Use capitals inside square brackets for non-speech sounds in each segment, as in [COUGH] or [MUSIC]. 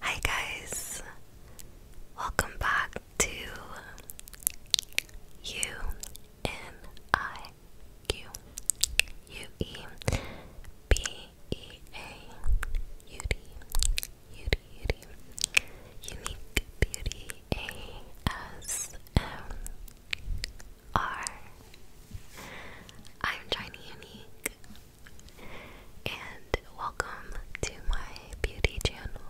Hi, guys, welcome back to You N I Q U E B E A U D U D U D Unique Beauty A S M R I'm China Unique and welcome to my beauty channel.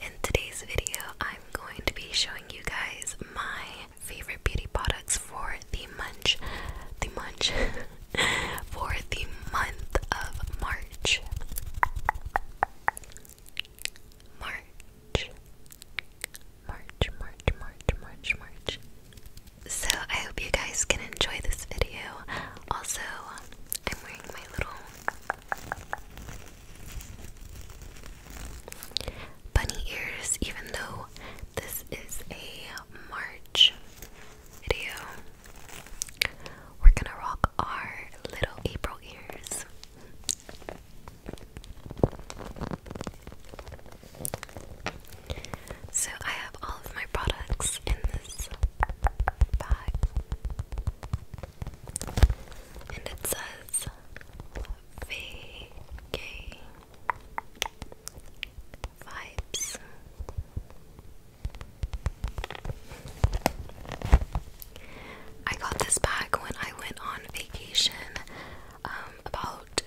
In today's video, I'm going to be showing you guys my favorite beauty products for the munch, the munch, [LAUGHS] for the month of March. March. March, March, March, March, March. So I hope you guys can enjoy this video. Also, I'm wearing my little bunny ears, even though this is a March video. We're gonna rock our little April ears. So I have all of my products in this bag and it says VK Vibes. I got this bag when I went on vacation um, about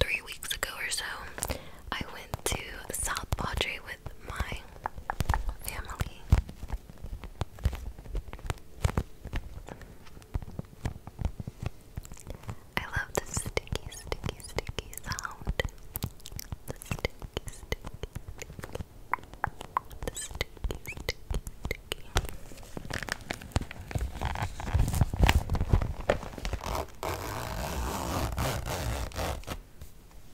three weeks ago or so. I went to South Padre with my family. I love the sticky, sticky, sticky sound. The sticky, sticky. The sticky, sticky, sticky.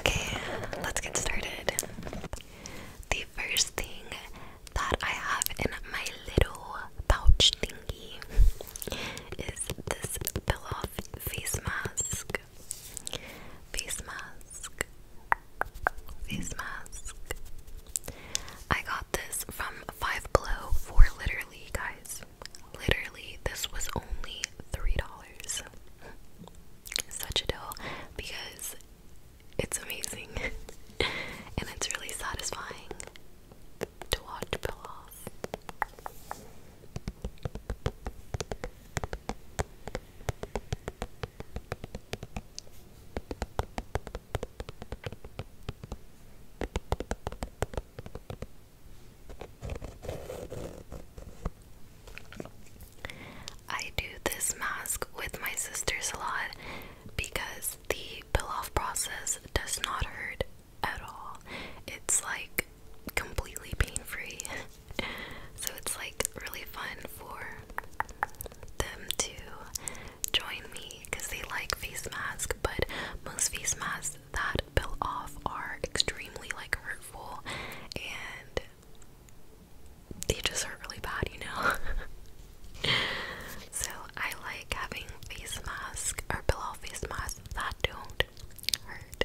Okay, let's get started. The first thing that I have in my little pouch thingy is this peel off face mask mask, face mask, face mask. I got this from Five Below for literally, guys, literally, this was only $3. Such a deal because it's amazing [LAUGHS] and it's really satisfying to watch peel off. I do this mask with my sisters a lot because the peel off process does not hurt at all. It's like completely pain free. [LAUGHS] so it's like really fun for them to join me because they like face masks, but most face masks that peel off are extremely like hurtful and they just hurt really bad, you know. [LAUGHS] so I like having face masks or peel-off face masks that don't hurt.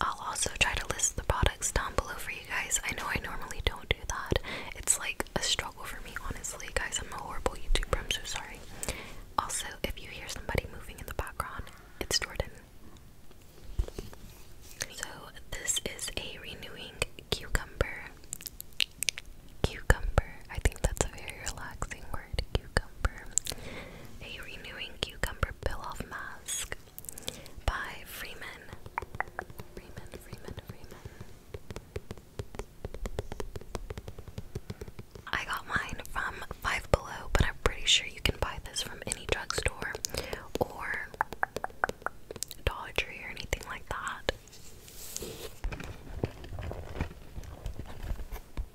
I'll also try to list the products down below for you guys. I know I normally don't do that. It's like a struggle for me, honestly, guys. I'm a horrible YouTuber. I'm so sorry. Also, if you hear somebody moving in the background, it's Jordan. So, this is a renewing cucumber. Cucumber. I think that's a very relaxing word. Cucumber, a Renewing Cucumber Peel-Off Mask by Freeman. Freeman, Freeman, Freeman. I got mine from Five Below, but I'm pretty sure you can buy this from any drugstore or Dollar Tree or anything like that.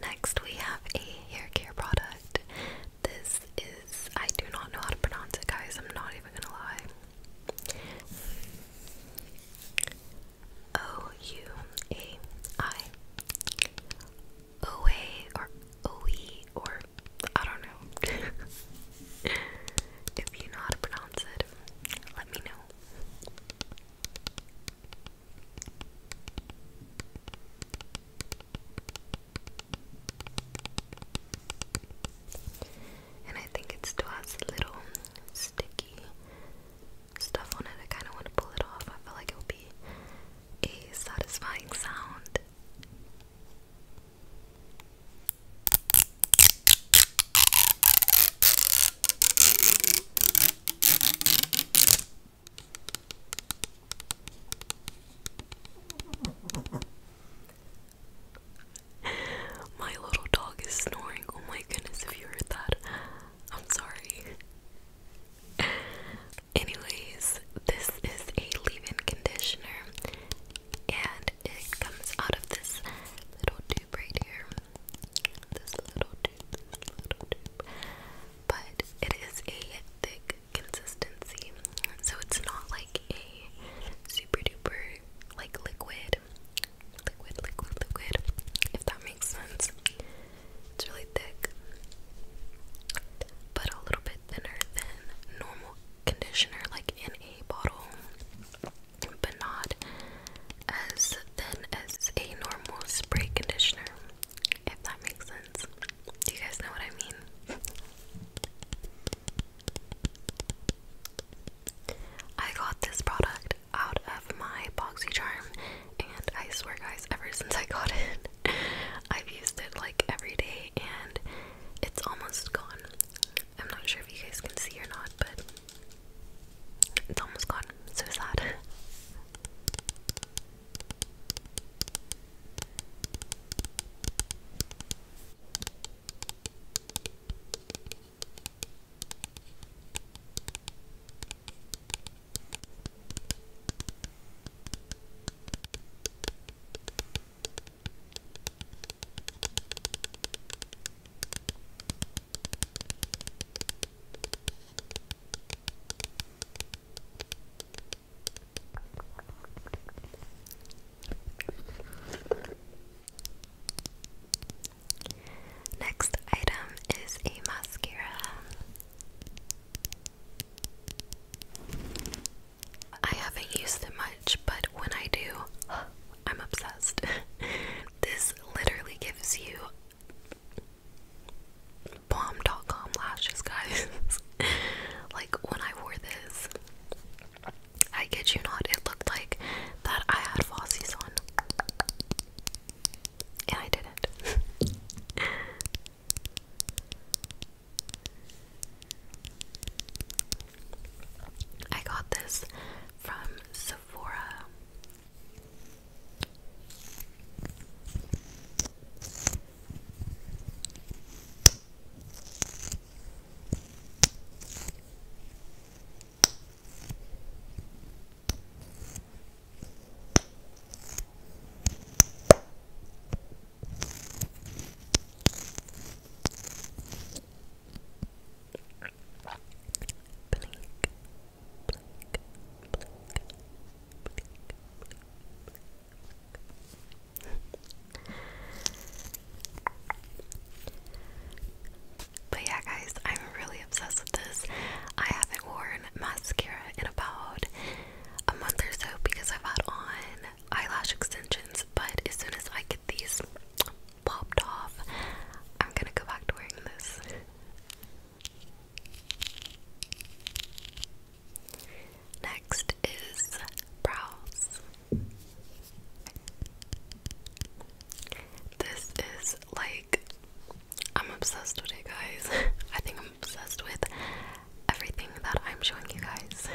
Next, we have a hair product. This is, I do not know how to pronounce it, guys. I'm not even gonna lie. O U A I. or OE or I don't know. [LAUGHS] If you know how to pronounce it, let me know. And I think it still little sticky stuff on it. I kind of want to pull it off. I feel like it will be a satisfying sound. My little dog is snoring. Oh my goodness, if you heard that, I'm sorry. Anyways, this is a leave in conditioner, and it comes out of this little tube right here. This little tube, But it is a thick consistency. So it's not like a super duper like liquid. Liquid, liquid, liquid. If that makes sense. It's really thick. But a little bit thinner than normal conditioner like in a bottle but not as thin as a normal spray conditioner, if that makes sense. you guys know what I mean? I got this product out of my Boxy Charm, and I swear, guys, ever since I got it, [LAUGHS] I've used it like every day, and it's almost gone. I'm not sure if you guys can see or not, but it's almost gone. so sad. Next item is a mascara. I haven't used it much, but when I do, I'm obsessed. [LAUGHS] this literally gives you bomb.com lashes, guys. [LAUGHS] like when I wore this, I kid you not, it looked like that I had Fossies on. And I didn't. [LAUGHS] I got this from Sephora but yeah, guys, I'm really obsessed with this. I haven't worn mascara in about a month or so because I've had on eyelash extensions, but as soon as I get these popped off. I'm gonna go back to wearing this. Next is brows. This is like I'm obsessed with it, guys. [LAUGHS] I think I'm obsessed with everything that I'm showing you guys.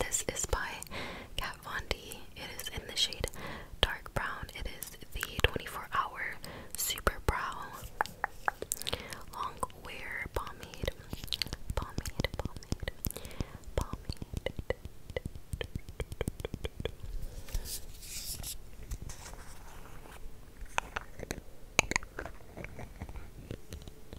This is by Kat Von D. It is in the shade dark brown. It is the 24 hour super brow long wear pomade. Pomade, pomade, pomade.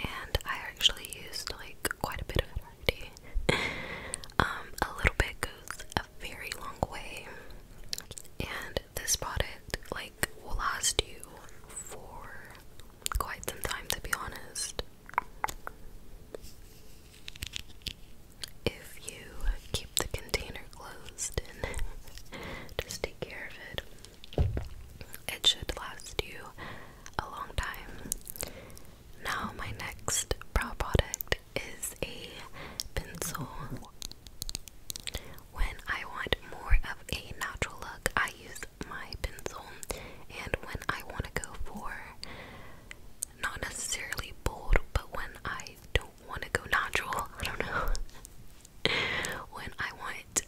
And I actually used like quite a bit of it [LAUGHS] um, a little bit goes a very long way, and this product like will last you for quite some time, to be honest if you keep the container closed and [LAUGHS] just take care of it, it should last you a long time. Now, my next brow product is a pencil. When I want more of a natural look, I use my pencil, and when I want to go for not necessarily bold, but when I don't want to go natural, [LAUGHS] I don't know. when I want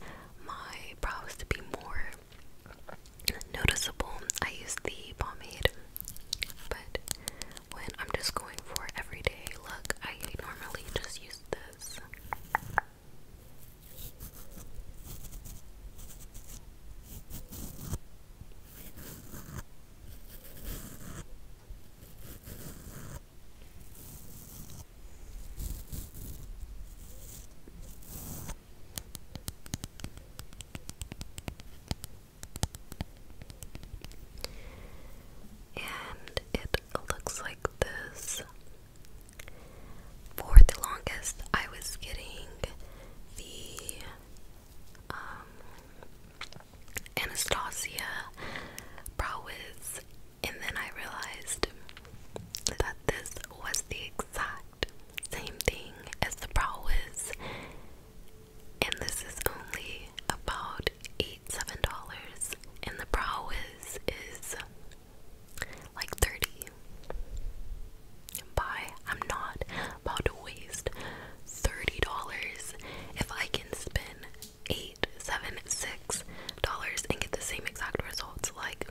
my brows to be more noticeable, I use the pomade. But when I'm just going for everyday look, I normally just use this. And it looks like this. For the longest, I was getting the um, Anastasia Prowess, and then I realized that this was the exact same thing as the Prowess, and this is only about $87, and the Prowess is like 30 buy. I'm not about to waste $30 if I can spend eight, seven, six dollars and get the same exact results. Like,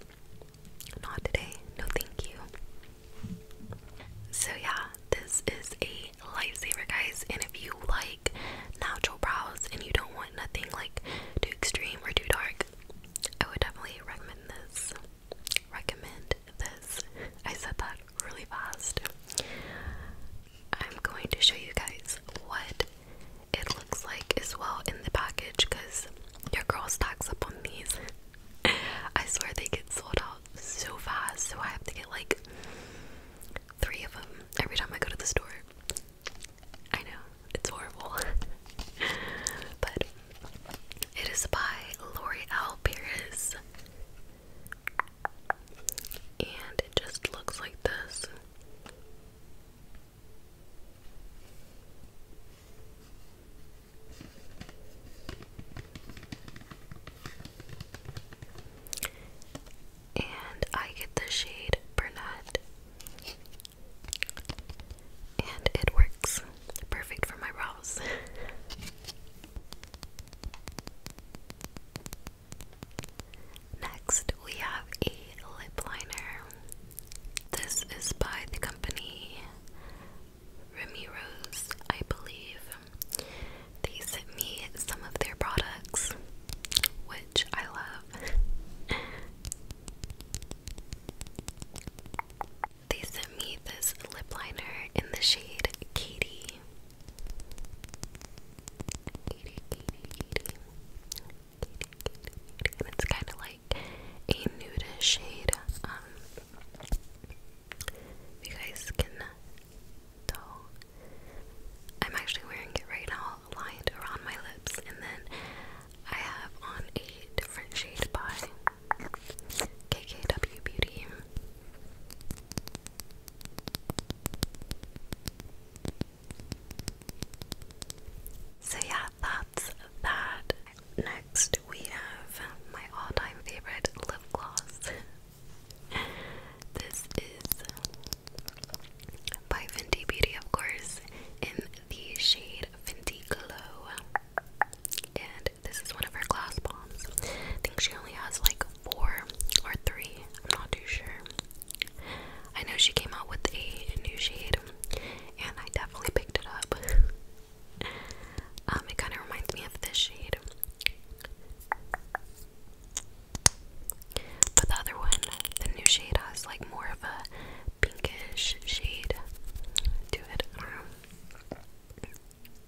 not today. No, thank you. So yeah, this is a lifesaver, guys. And if you like natural brows and you don't want nothing like too extreme or too dark, I would definitely recommend this recommend this. I said that really fast. I'm going to show you guys what it looks like as well in the package because your girl stacks up on these. I swear they get sold out so fast, so I have to get like three of them every time I go to the store. I know, it's horrible. [LAUGHS] but it is by L'Oreal Paris and it just looks like this. And I get the shade Burnett, and it works. Perfect for my brows. [LAUGHS] Next, we have a lip liner. This is by the company Remy Rose, I believe. They sent me some of their products, which I love. [LAUGHS] They sent me this lip liner in the shade Katie. And it's kind of like a nudish shade. Um, you guys can tell. I'm actually wearing it right now, lined around my lips, and then I have on a different shade by KKW Beauty. So, yeah, that's that. Next, we have my all time favorite lip gloss. this is by Fenty Beauty, of course, in the shade Fenty Glow. And this is one of her glass bombs. I think she only has like four or three. I'm not too sure. I know she came out with a new shade, and I definitely picked it up. um, it kind of reminds me of this shade. But the other one, the new shade, has like more of a pinkish shade to it.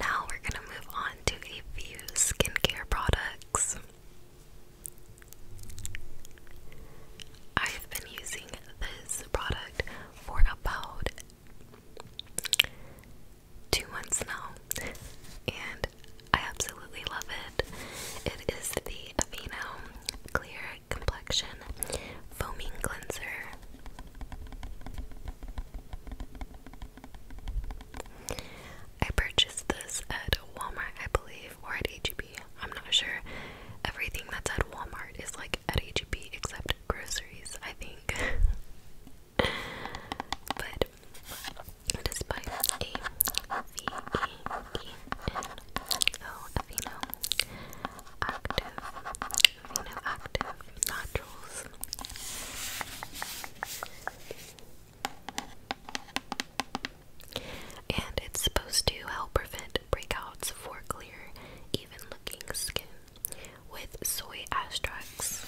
Now we're going to move on to a few skincare products. I've been using this product for about two months now, and I absolutely love it. It is the Aveeno Clear Complexion Foaming Cleanser. I purchased this at Walmart, I believe, or at HEB. I'm not sure. Everything that's at Walmart is like at H-E-B except groceries, I think. [LAUGHS] but despite a V E E N O Aveeno active, Aveeno active nodules. And it's supposed to help prevent breakouts for clear, even looking skin with soy extracts.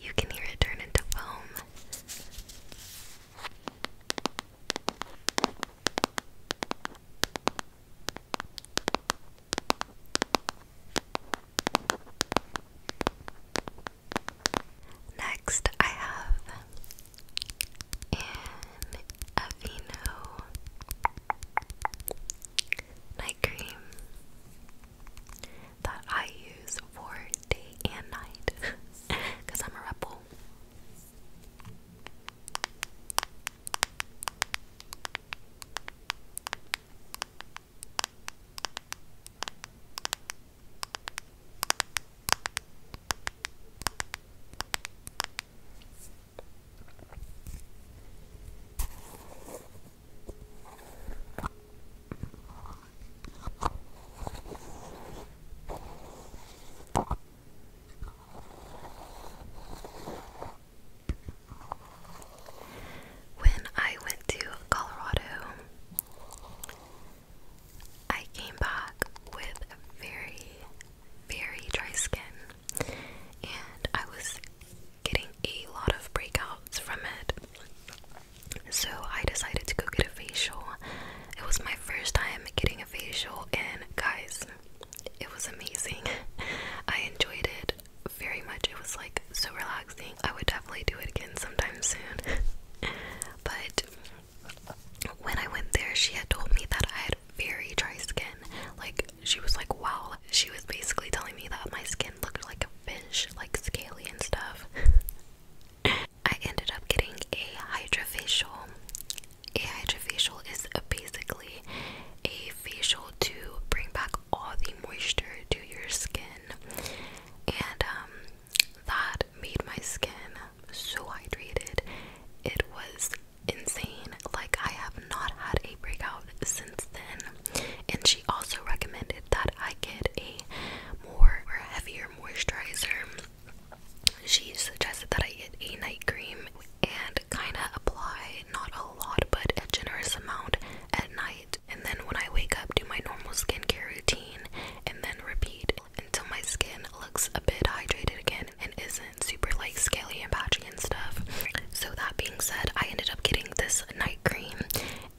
You can hear it turn into foam. Next, I have an Aveeno night cream that I use for day and night because [LAUGHS] I'm a rebel. When I went to Colorado, I came back with very, very dry skin and I was getting a lot of breakouts from it. So I decided to go get a facial. It was my first time getting a facial, and guys, it was amazing. [LAUGHS] I enjoyed it very much. It was like so relaxing. I would definitely do it again sometime soon. [LAUGHS] but when I went there, she had told me that I had very dry skin, like she was like, wow. She was basically telling me that my skin looked like a fish, like scaly and stuff. [LAUGHS] I ended up getting a hydrofacial. A hydrofacial is basically a facial to bring back all the moisture to your skin. And um, that made my skin so hydrated. It was insane. Like, I have not had a breakout since then. And she also recommended that I get a more or heavier moisturizer. She suggested that I get a night cream and kind of apply not a lot but a generous amount at night. And then when I wake up, do my normal skincare routine and then repeat until my skin looks a bit hydrated again and isn't super like scaly and patchy and stuff. So that being said, I ended up getting this night cream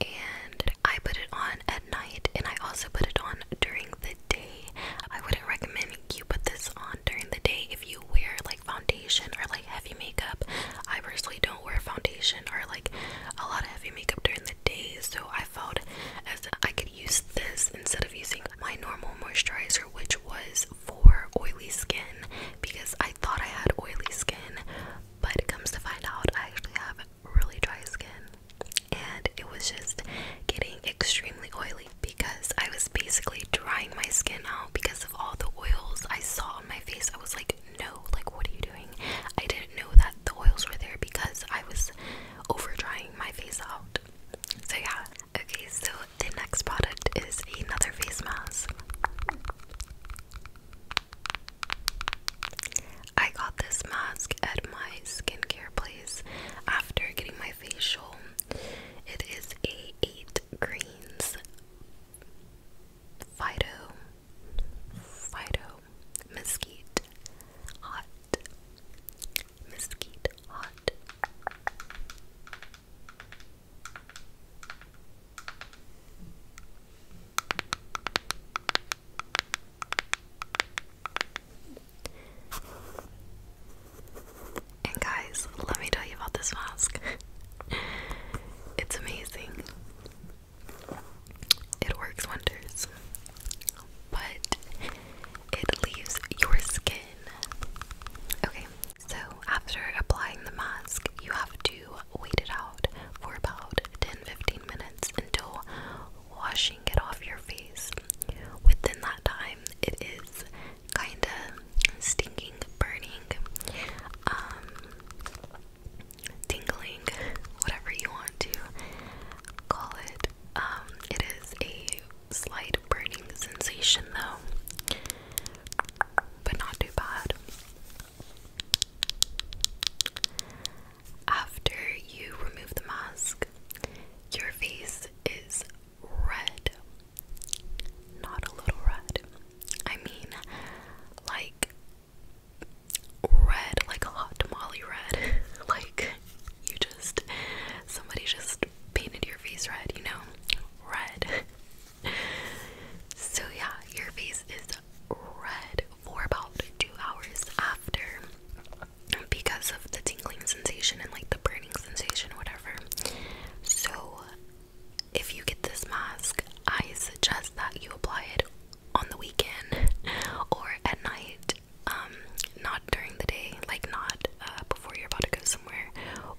and I put it on at night and I also put it on during the day. I wouldn't recommend you put this on during the day if you wear like foundation or like heavy makeup. I personally don't wear foundation or like a lot of heavy makeup during the day, so I felt as I could use this instead of using my normal moisturizer, which was for oily skin because I thought I had oily skin, but it comes to find out I actually have really dry skin. And it was just getting extremely oily because I was basically drying my skin out because of all the oils I saw on my face. I was like, no, like, what are you doing? I didn't know that the oils were there because I was over drying my face out. So, yeah, Okay, so the next product is another face mask. I got this mask at my skincare place after getting my facial. It is a 8 greens Fido Fido Mesquite Hot Mesquite Hot and guys, let me tell you about this mask. [LAUGHS] it's amazing. It works wonders. But it leaves your skin. Okay, so, after applying the mask, you have to wait it out for about 10 15 minutes until washing it off your face. Within that time, it is kinda stinging, burning, um, tingling, whatever you want to call it. Um, it is a slight burning sensation though but not too bad. After you remove the mask, your face is red. Not a little red. I mean, like red, like a hot tamale red. [LAUGHS] like you just, somebody just painted your face red, you know? Red. [LAUGHS] [LAUGHS] so yeah, your face is red for about two hours after because of the tingling sensation and like the burning sensation, whatever. So if you get this mask, I suggest that you apply it on the weekend [LAUGHS] or at night, um, not during the day, like not uh, before you're about to go somewhere,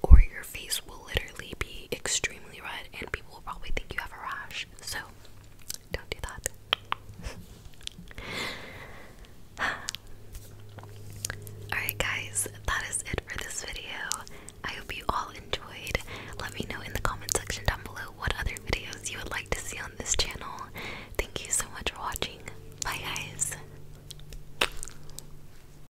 or your face will literally be extremely red and people will probably think you have a rash. So don't do that. [SIGHS] Alright, guys, that is it for this video. I hope you all enjoyed. Let me know in the comment section down below what other videos you would like to see on this channel. Thank you so much for watching. Bye, guys.